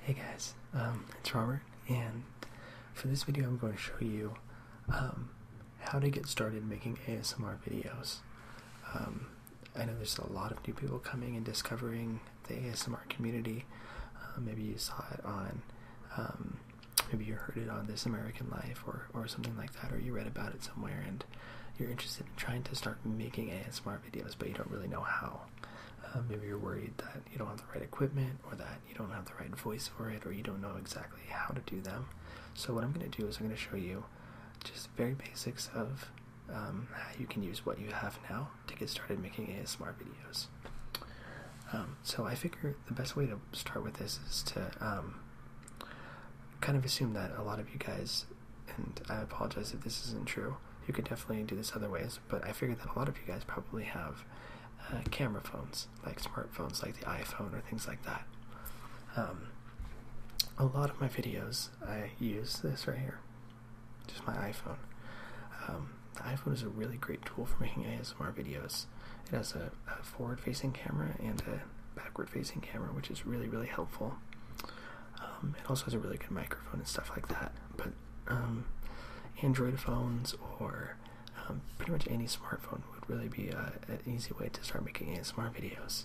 Hey guys, um, it's Robert, and for this video I'm going to show you um, how to get started making ASMR videos. Um, I know there's a lot of new people coming and discovering the ASMR community. Uh, maybe you saw it on, maybe you heard it on This American Life or, or something like that, or you read about it somewhere and you're interested in trying to start making ASMR videos, but you don't really know how. Um, maybe you're worried that you don't have the right equipment, or that you don't have the right voice for it, or you don't know exactly how to do them. So what I'm going to do is I'm going to show you just very basics of um, how you can use what you have now to get started making ASMR videos. Um, so I figure the best way to start with this is to kind of assume that a lot of you guys and I apologize if this isn't true. You could definitely do this other ways, but I figured that a lot of you guys probably have uh, camera phones, like smartphones, like the iPhone or things like that. Um, a lot of my videos, I use this right here, just my iPhone. Um, the iPhone is a really great tool for making ASMR videos. It has a forward-facing camera and a backward-facing camera, which is really, really helpful. Um, it also has a really good microphone and stuff like that. But um, Android phones or um, pretty much any smartphone would really be uh, an easy way to start making ASMR videos.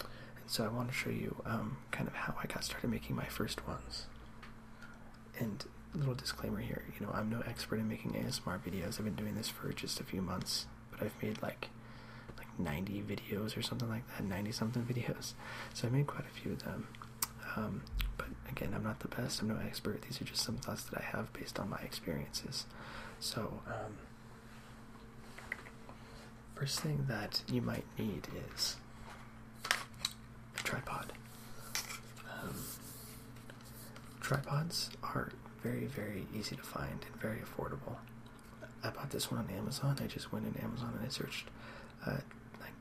And so I want to show you kind of how I got started making my first ones. And little disclaimer here, you know, I'm no expert in making ASMR videos. I've been doing this for just a few months, but I've made like 90 videos or something like that, 90 something videos. So I made quite a few of them. Um, but again, I'm not the best, I'm no expert. These are just some thoughts that I have based on my experiences. So, um, first thing that you might need is a tripod. Um, tripods are very, very easy to find and very affordable. I bought this one on Amazon. I just went in Amazon and I searched a,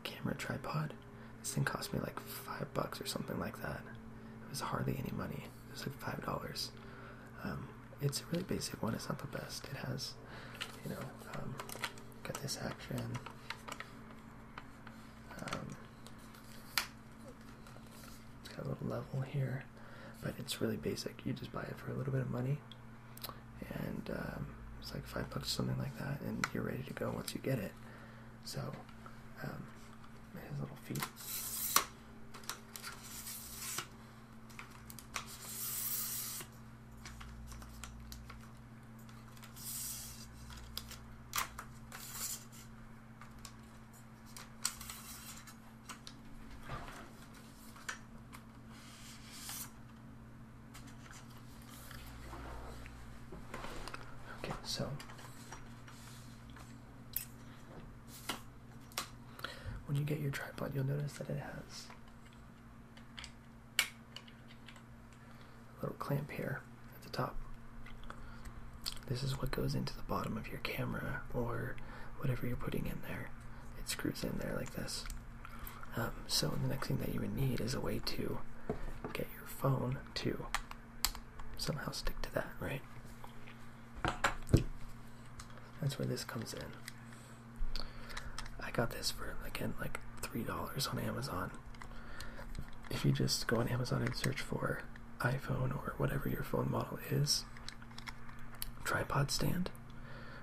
camera tripod. This thing cost me like five bucks or something like that. It was hardly any money. It was like five dollars. Um, it's a really basic one. It's not the best. It has, you know, um, got this action. Um, it's got a little level here, but it's really basic. You just buy it for a little bit of money, and um, it's like five bucks, something like that, and you're ready to go once you get it. So, um, his little feet. Okay, so when you get your tripod, you'll notice that it has a little clamp here at the top. This is what goes into the bottom of your camera or whatever you're putting in there. It screws in there like this. Um, so the next thing that you would need is a way to get your phone to somehow stick to that, right? That's where this comes in. I got this for, again, like $3 on Amazon. If you just go on Amazon and search for iPhone or whatever your phone model is, tripod stand,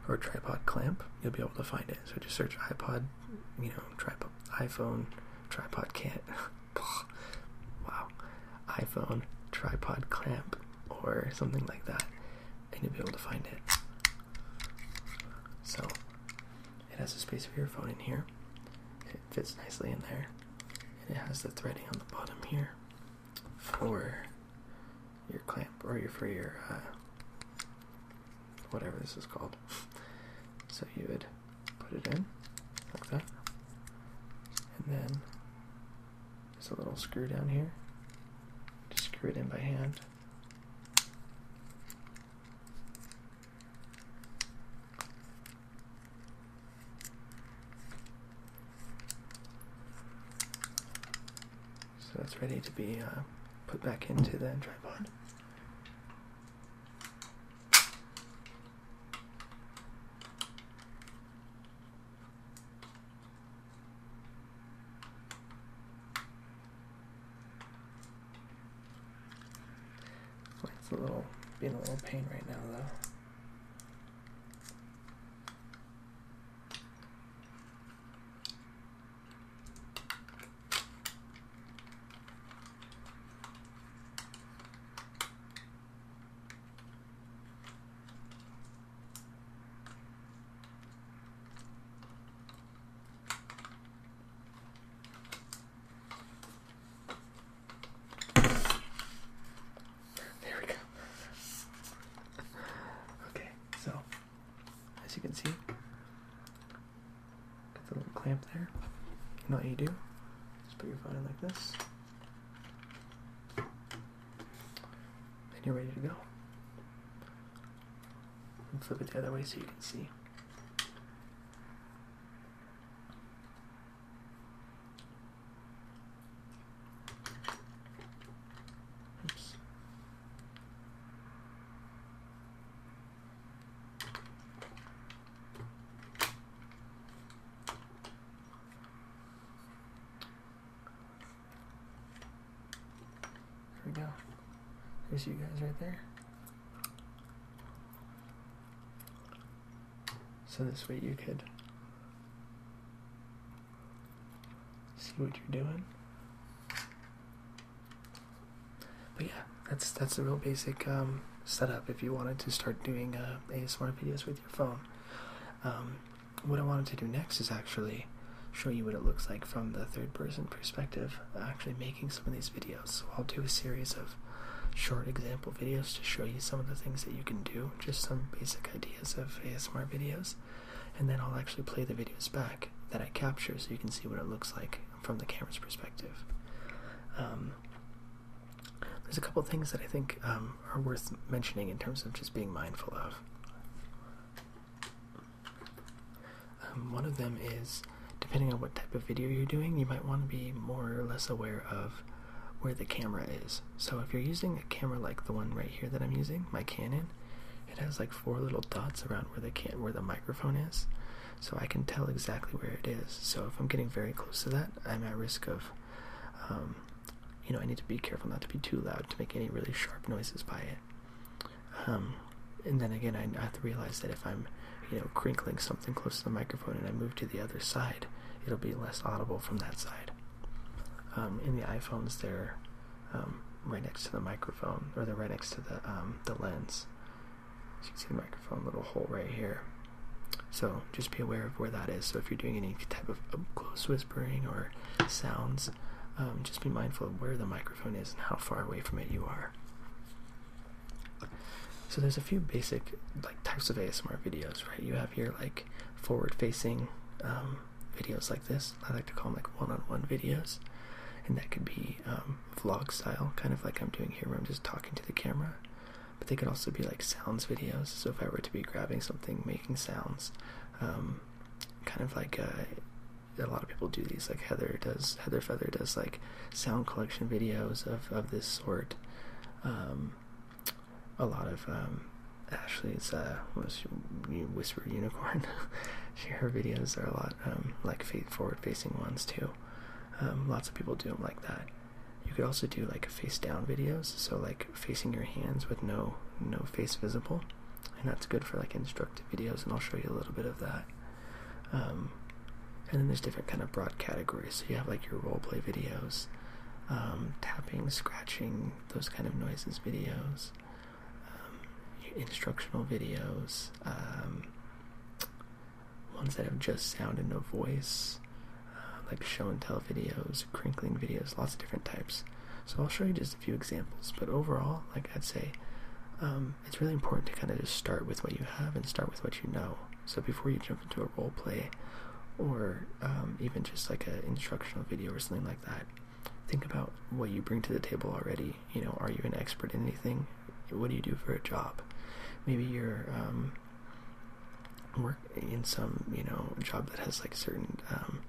or tripod clamp, you'll be able to find it. So just search iPod, you know, tripod, iPhone, tripod can wow. iPhone tripod clamp or something like that, and you'll be able to find it. So it has a space for your phone in here. It fits nicely in there. it has the threading on the bottom here for your clamp or your for your uh, whatever this is called. So you would put it in like that, and then there's a little screw down here. Just screw it in by hand. So it's ready to be uh, put back into the tripod. Well, it's a little being a little pain right now though. There we go. okay, so as you can see. Got the little clamp there. You know what you do? Just put your phone in like this. And you're ready to go. flip it the other way so you can see. Oops. There we go. There's you guys right there. So this way you could See what you're doing. But yeah, that's that's a real basic um, setup. If you wanted to start doing uh, ASMR videos with your phone, um, what I wanted to do next is actually show you what it looks like from the third person perspective. Actually, making some of these videos. So I'll do a series of short example videos to show you some of the things that you can do. Just some basic ideas of ASMR videos and then I'll actually play the videos back that I capture so you can see what it looks like from the camera's perspective. Um, there's a couple things that I think um, are worth mentioning in terms of just being mindful of. Um, one of them is, depending on what type of video you're doing, you might want to be more or less aware of where the camera is. So if you're using a camera like the one right here that I'm using, my Canon, it has like four little dots around where the microphone is, so I can tell exactly where it is. So if I'm getting very close to that, I'm at risk of, um, you know, I need to be careful not to be too loud to make any really sharp noises by it. Um, and then again, I have to realize that if I'm, you know, crinkling something close to the microphone and I move to the other side, it'll be less audible from that side. Um, in the iPhones, there. Um, right next to the microphone, or the right next to the um, the lens. you can see the microphone little hole right here. So just be aware of where that is. So if you're doing any type of close whispering or sounds, um, just be mindful of where the microphone is and how far away from it you are. So there's a few basic like types of ASMR videos, right? You have your like forward facing videos like this. I like to call them like one-on-one videos, and that could be um, vlog style, kind of like I'm doing here, where I'm just talking to the camera. But they could also be like sounds videos. So if I were to be grabbing something, making sounds, um, kind of like uh, a lot of people do these. Like Heather does, Heather Feather does like sound collection videos of of this sort. Um, a lot of um, Ashley's uh, Whisper Unicorn. her videos are a lot um, like forward facing ones too. Um, lots of people do them like that. You could also do like face down videos, so like facing your hands with no no face visible, and that's good for like instructive videos. And I'll show you a little bit of that. Um, and then there's different kind of broad categories. So you have like your role play videos, um, tapping, scratching, those kind of noises videos. Um, instructional videos, um, ones that have just sound and no voice, uh, like show and tell videos, crinkling videos, lots of different types. So I'll show you just a few examples, but overall, like I'd say, um, it's really important to kind of just start with what you have and start with what you know. So before you jump into a role play, or even just like an instructional video or something like that, think about what you bring to the table already. You know, are you an expert in anything? What do you do for a job? Maybe you're um, work in some you know job that has like certain um,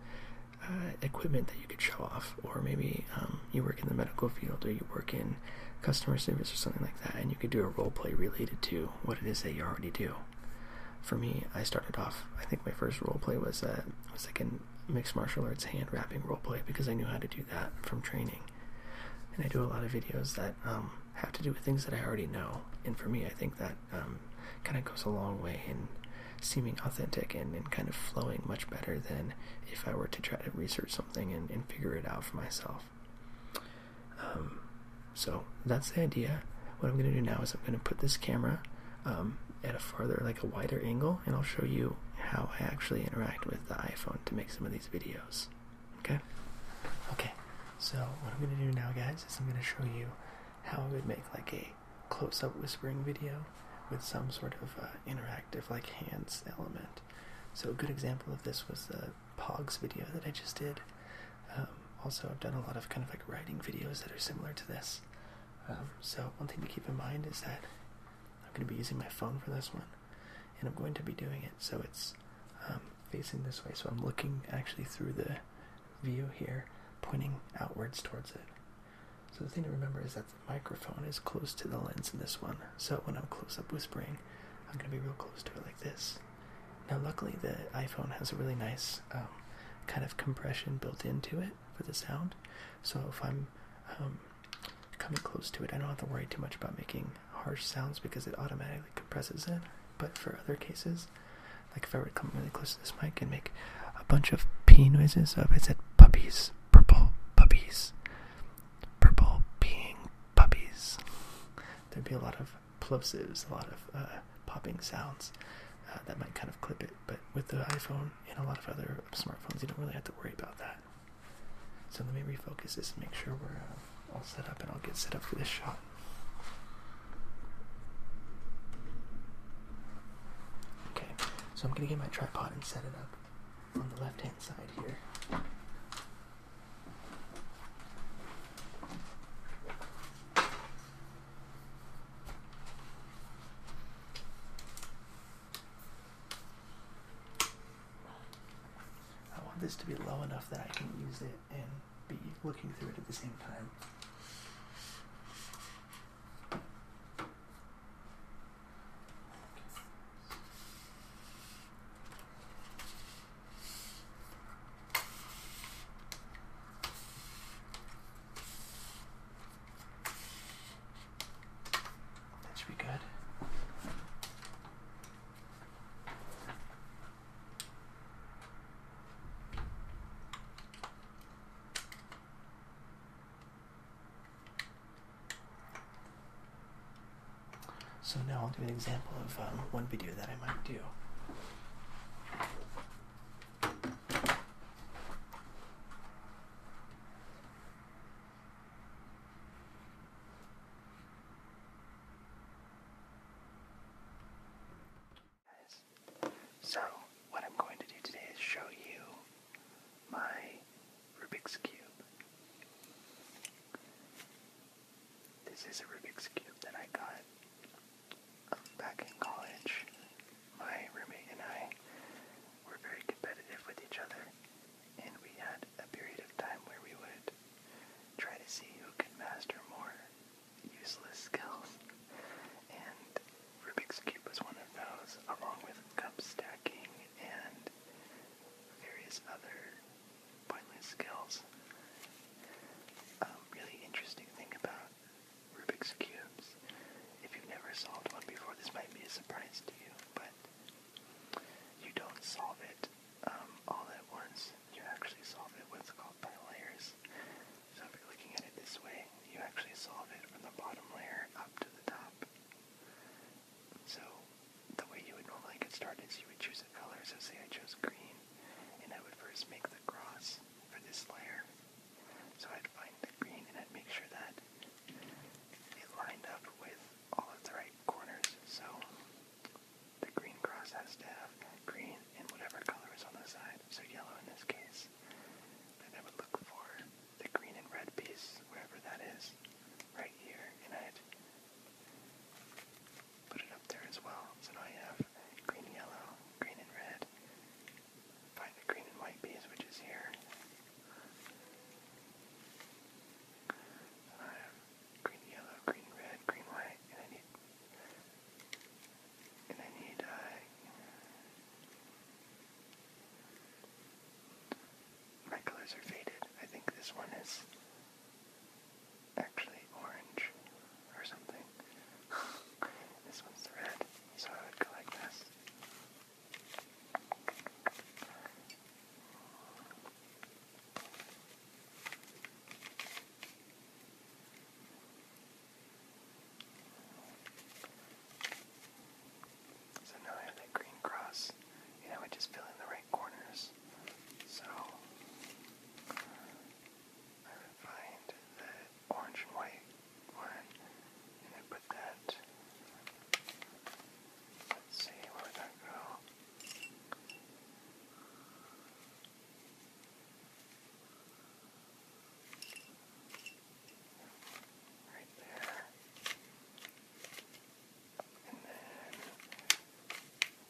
uh, equipment that you could show off, or maybe um, you work in the medical field, or you work in customer service or something like that, and you could do a role play related to what it is that you already do. For me, I started off. I think my first role play was uh, was like an mixed martial arts hand wrapping role play because I knew how to do that from training. And I do a lot of videos that um, have to do with things that I already know. And for me, I think that um, kind of goes a long way in seeming authentic and, and kind of flowing much better than if I were to try to research something and, and figure it out for myself. Um, so that's the idea. What I'm going to do now is I'm going to put this camera um, at a farther, like a wider angle, and I'll show you how I actually interact with the iPhone to make some of these videos. Okay? Okay, so what I'm going to do now, guys, is I'm going to show you how I would make like a close up whispering video with some sort of uh, interactive, like hands element. So, a good example of this was the Pogs video that I just did. Um, also, I've done a lot of kind of like writing videos that are similar to this. Um, so one thing to keep in mind is that I'm going to be using my phone for this one, and I'm going to be doing it so it's um, facing this way. So I'm looking actually through the view here, pointing outwards towards it. So the thing to remember is that the microphone is close to the lens in this one. So when I'm close up whispering, I'm going to be real close to it like this. Now luckily the iPhone has a really nice um, kind of compression built into it for the sound, so if I'm um, coming close to it, I don't have to worry too much about making harsh sounds because it automatically compresses it. But for other cases, like if I were to come really close to this mic and make a bunch of p noises, so if I said puppies, purple puppies, purple peeing puppies, there'd be a lot of plosives, a lot of uh, popping sounds uh, that might kind of clip it. But with the iPhone and a lot of other smartphones, you don't really have to worry about that. So let me refocus this and make sure we're uh, all set up, and I'll get set up for this shot. Okay, so I'm gonna get my tripod and set it up on the left hand side here. I want this to be low enough that I can use it and be looking through it at the same time. That should be good. So now I'll do an example of um, one video that I might do. So, what I'm going to do today is show you my Rubik's Cube. This is a Rubik's Cube that I got back in college my roommate and I were very competitive with each other, and we had a period of time where we would try to see who could master more useless skills. And Rubik's Cube was one of those, along with cup stacking and various other pointless skills. A um, really interesting thing about Rubik's Cubes. If you've never solved one before, this might be a surprise to you, but you don't solve it um, all at once. You actually solve it what's called by layers. So if you're looking at it this way, you actually solve it from the bottom layer up to the top. So the way you would normally get started is you would choose a color. So say I chose green, and I would first make the cross for this layer. So I'd find the green and I'd make sure that it lined up with all of the right corners. So the green cross has to have green and whatever color is on the side, so yellow in this case. Then I would look for the green and red piece, wherever that is, right here, and I'd put it up there as well. So now I have green, yellow, green, and red, Find the green and white piece, which is here. I green, yellow, green, red, green, white, and I need, and I need, uh, my colors are faded. I think this one is actually orange or something. this one's red, so I would go like this. So now I have that green cross, and I just fill in the right corners. So I find that orange and white one, and I put that. Let's see where that go. Right there. And then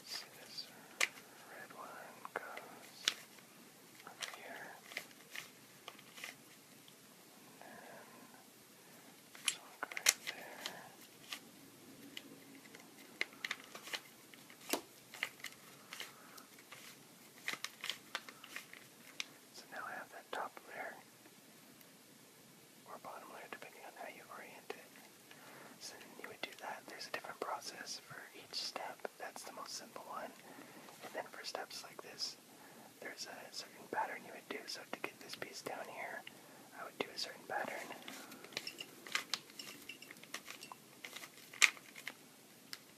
see this red one goes over here. So now I have that top layer or bottom layer depending on how you orient it. So you would do that. There's a different process for each step. That's the most simple one. And then for steps like this, there's a certain pattern you would do. So to get this piece down here, I would do a certain pattern.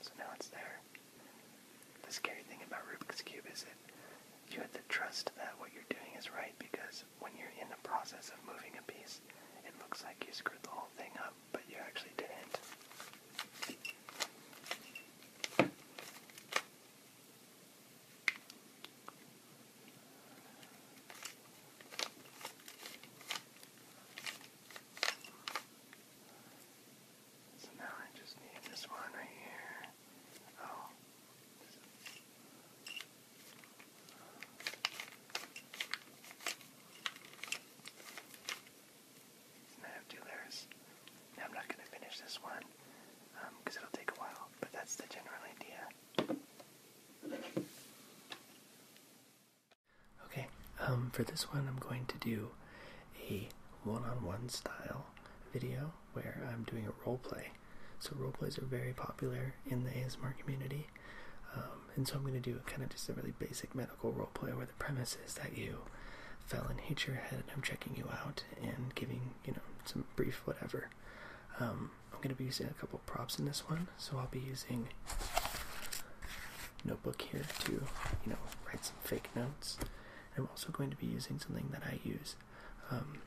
So now it's there. The scary thing about Rubik's Cube is that you have to trust that what you're doing is right because when you're in the process of moving a piece, it looks like you screwed the whole thing up, but you actually didn't. So now I just need this one right here. Oh. And I have two layers. I'm not going to finish this one because um, it'll take a while, but that's the general idea. Okay, um, for this one I'm going to do a one-on-one style video where I'm doing a role play. So role plays are very popular in the ASMR community. Um, and so I'm going to do kind of just a really basic medical role play where premise is that you fell and hit your head, I'm checking you out and giving, you know, some brief whatever. Um, I'm going to be using a couple props in this one, so I'll be using notebook here to, you know, write some fake notes. I'm also going to be using something that I use. Um,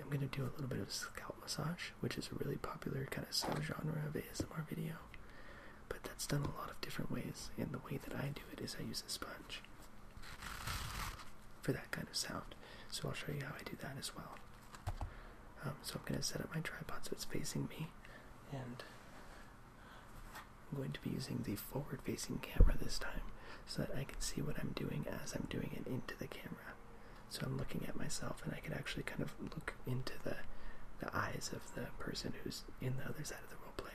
I'm going to do a little bit of scalp massage, which is a really popular kind of subgenre of ASMR video but that's done a lot of different ways, and the way that I do it is I use a sponge for that kind of sound. So I'll show you how I do that as well. Um, so I'm going to set up my tripod so it's facing me, and I'm going to be using the forward facing camera this time so that I can see what I'm doing as I'm doing it into the camera. So I'm looking at myself, and I can actually kind of look into the the eyes of the person who's in the other side of the role play.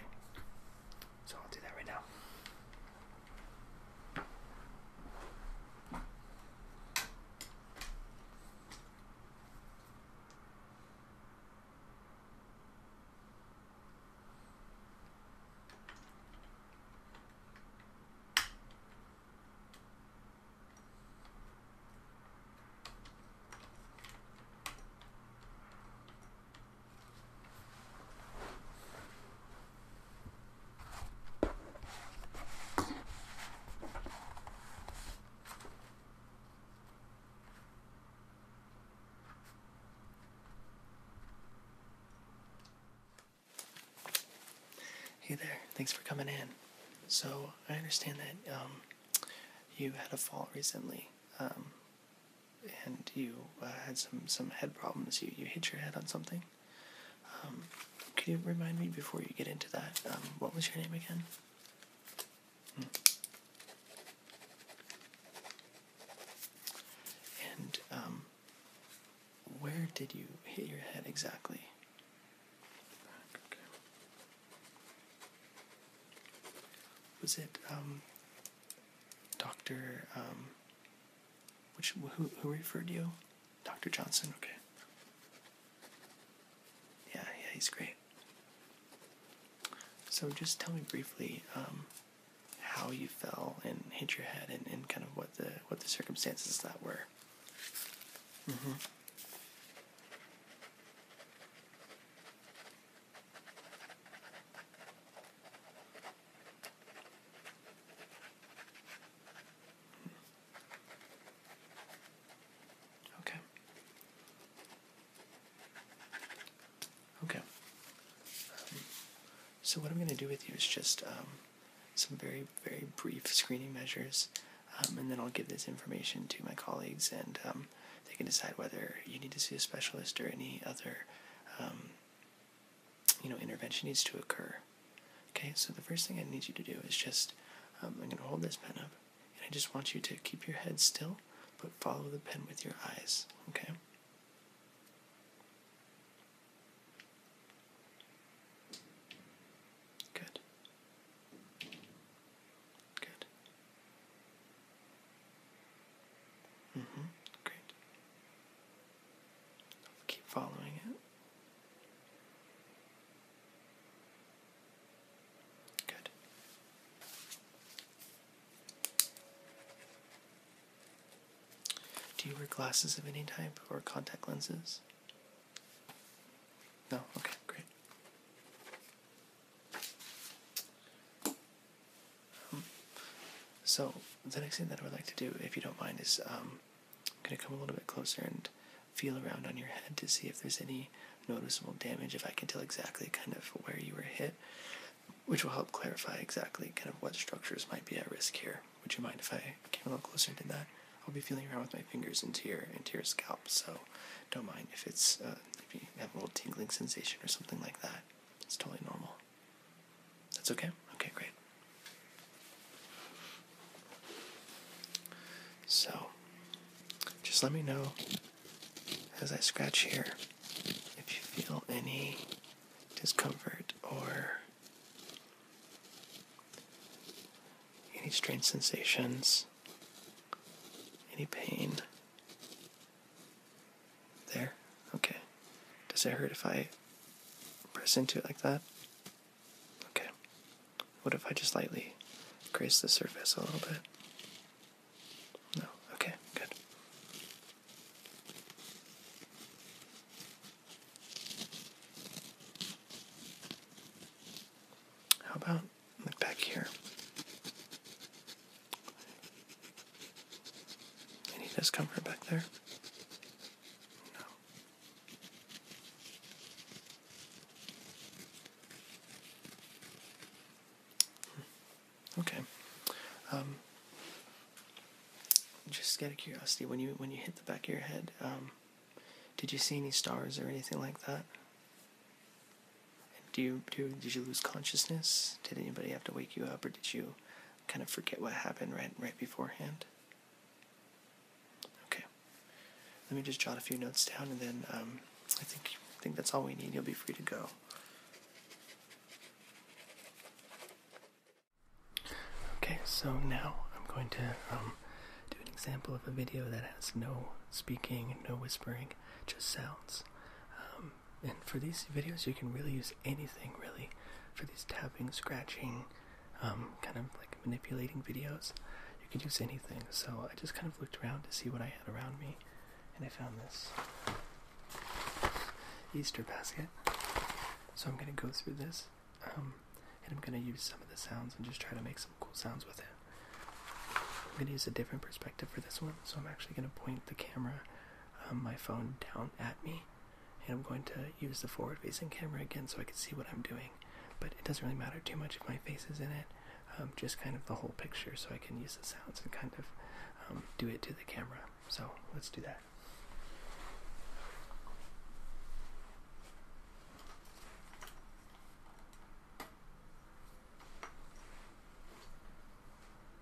So I'll do that right now. Hey there, thanks for coming in. So, I understand that um, you had a fall recently. Um, and you uh, had some some head problems. You you hit your head on something. Um, Can you remind me before you get into that? Um, what was your name again? Hmm. And um, where did you hit your head exactly? Was it Doctor, um, which who who referred you? Doctor Johnson. Okay. Yeah, yeah, he's great. So just tell me briefly um, how you fell and hit your head, and, and kind of what the what the circumstances that were. Mm-hmm. Okay. Okay. Um, so what I'm going to do with you is just um, some very, very brief screening measures, um, and then I'll give this information to my colleagues and they can decide whether you need to see a specialist or any other, um, you know, intervention needs to occur. Okay, so the first thing I need you to do is just, um, I'm going to hold this pen up, and I just want you to keep your head still, but follow the pen with your eyes. Okay. Good. Good. hmm Great. Keep following it. Good. Do you wear glasses of any type or contact lenses? No? Okay, great so the next thing that I would like to do, if you don't mind, is I'm um, going to come a little bit closer and feel around on your head to see if there's any noticeable damage, if I can tell exactly kind of where you were hit, which will help clarify exactly kind of what structures might be at risk here. Would you mind if I came a little closer and did that? I'll be feeling around with my fingers into your into your scalp, so don't mind if it's uh, if you have a little tingling sensation or something like that. It's totally normal. That's okay? Okay, great. So, just let me know as I scratch here if you feel any discomfort or any strange sensations, any pain, there? Okay. Does it hurt if I press into it like that? Okay. What if I just lightly graze the surface a little bit? No. Okay, good. How about Look back here. Any discomfort back there? No. Hmm. Okay. Um, just out of curiosity, when you when you hit the back of your head, um, did you see any stars or anything like that? Do you, do, did you lose consciousness? Did anybody have to wake you up, or did you kind of forget what happened right right beforehand? Okay. Let me just jot a few notes down, and then um, I think I think that's all we need. You'll be free to go. Okay, so now I'm going to um, do an example of a video that has no speaking, no whispering, just sounds. Um, and for these videos, you can really use anything really for these tapping, scratching, um, kind of like manipulating videos. You can use anything. So I just kind of looked around to see what I had around me, and I found this Easter basket. So I'm gonna go through this, um, and I'm gonna use some of the sounds and just try to make some cool sounds with it. I'm gonna use a different perspective for this one so I'm actually going to point the camera, um, my phone, down at me, and I'm going to use the forward-facing camera again so I can see what I'm doing. But it doesn't really matter too much if my face is in it, um, just kind of the whole picture, so I can use the sounds and kind of um, do it to the camera. So let's do that.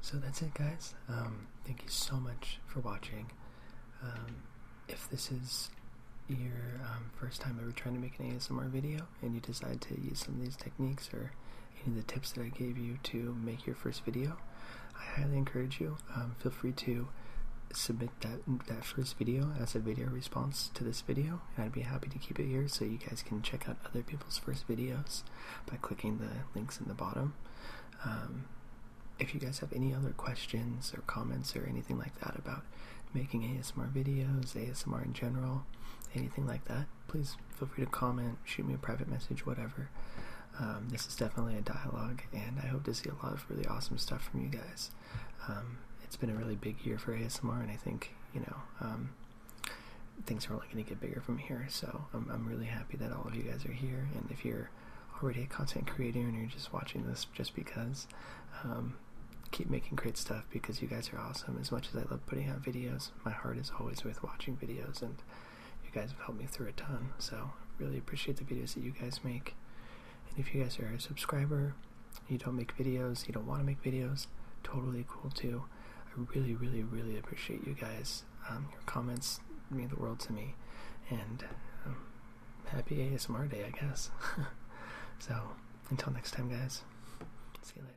So that's it, guys. Um, thank you so much for watching. Um, if this is your um, first time ever trying to make an ASMR video and you decide to use some of these techniques or any of the tips that I gave you to make your first video, I highly encourage you. Um, feel free to submit that that first video as a video response to this video, I'd be happy to keep it here so you guys can check out other people's first videos by clicking the links in the bottom. Um, if you guys have any other questions or comments or anything like that about making ASMR videos, ASMR in general, anything like that, please feel free to comment, shoot me a private message, whatever. Um, this is definitely a dialogue, and I hope to see a lot of really awesome stuff from you guys. Um, it's been a really big year for ASMR, and I think you know um, things are only going to get bigger from here. So I'm, I'm really happy that all of you guys are here, and if you're already a content creator and you're just watching this just because, keep making great stuff because you guys are awesome. As much as I love putting out videos, my heart is always with watching videos and you guys have helped me through a ton. So really appreciate the videos that you guys make. And if you guys are a subscriber, you don't make videos, you don't want to make videos, totally cool too. I really, really, really appreciate you guys. Um, your comments mean the world to me. And um, happy ASMR day, I guess. so until next time, guys, see you later.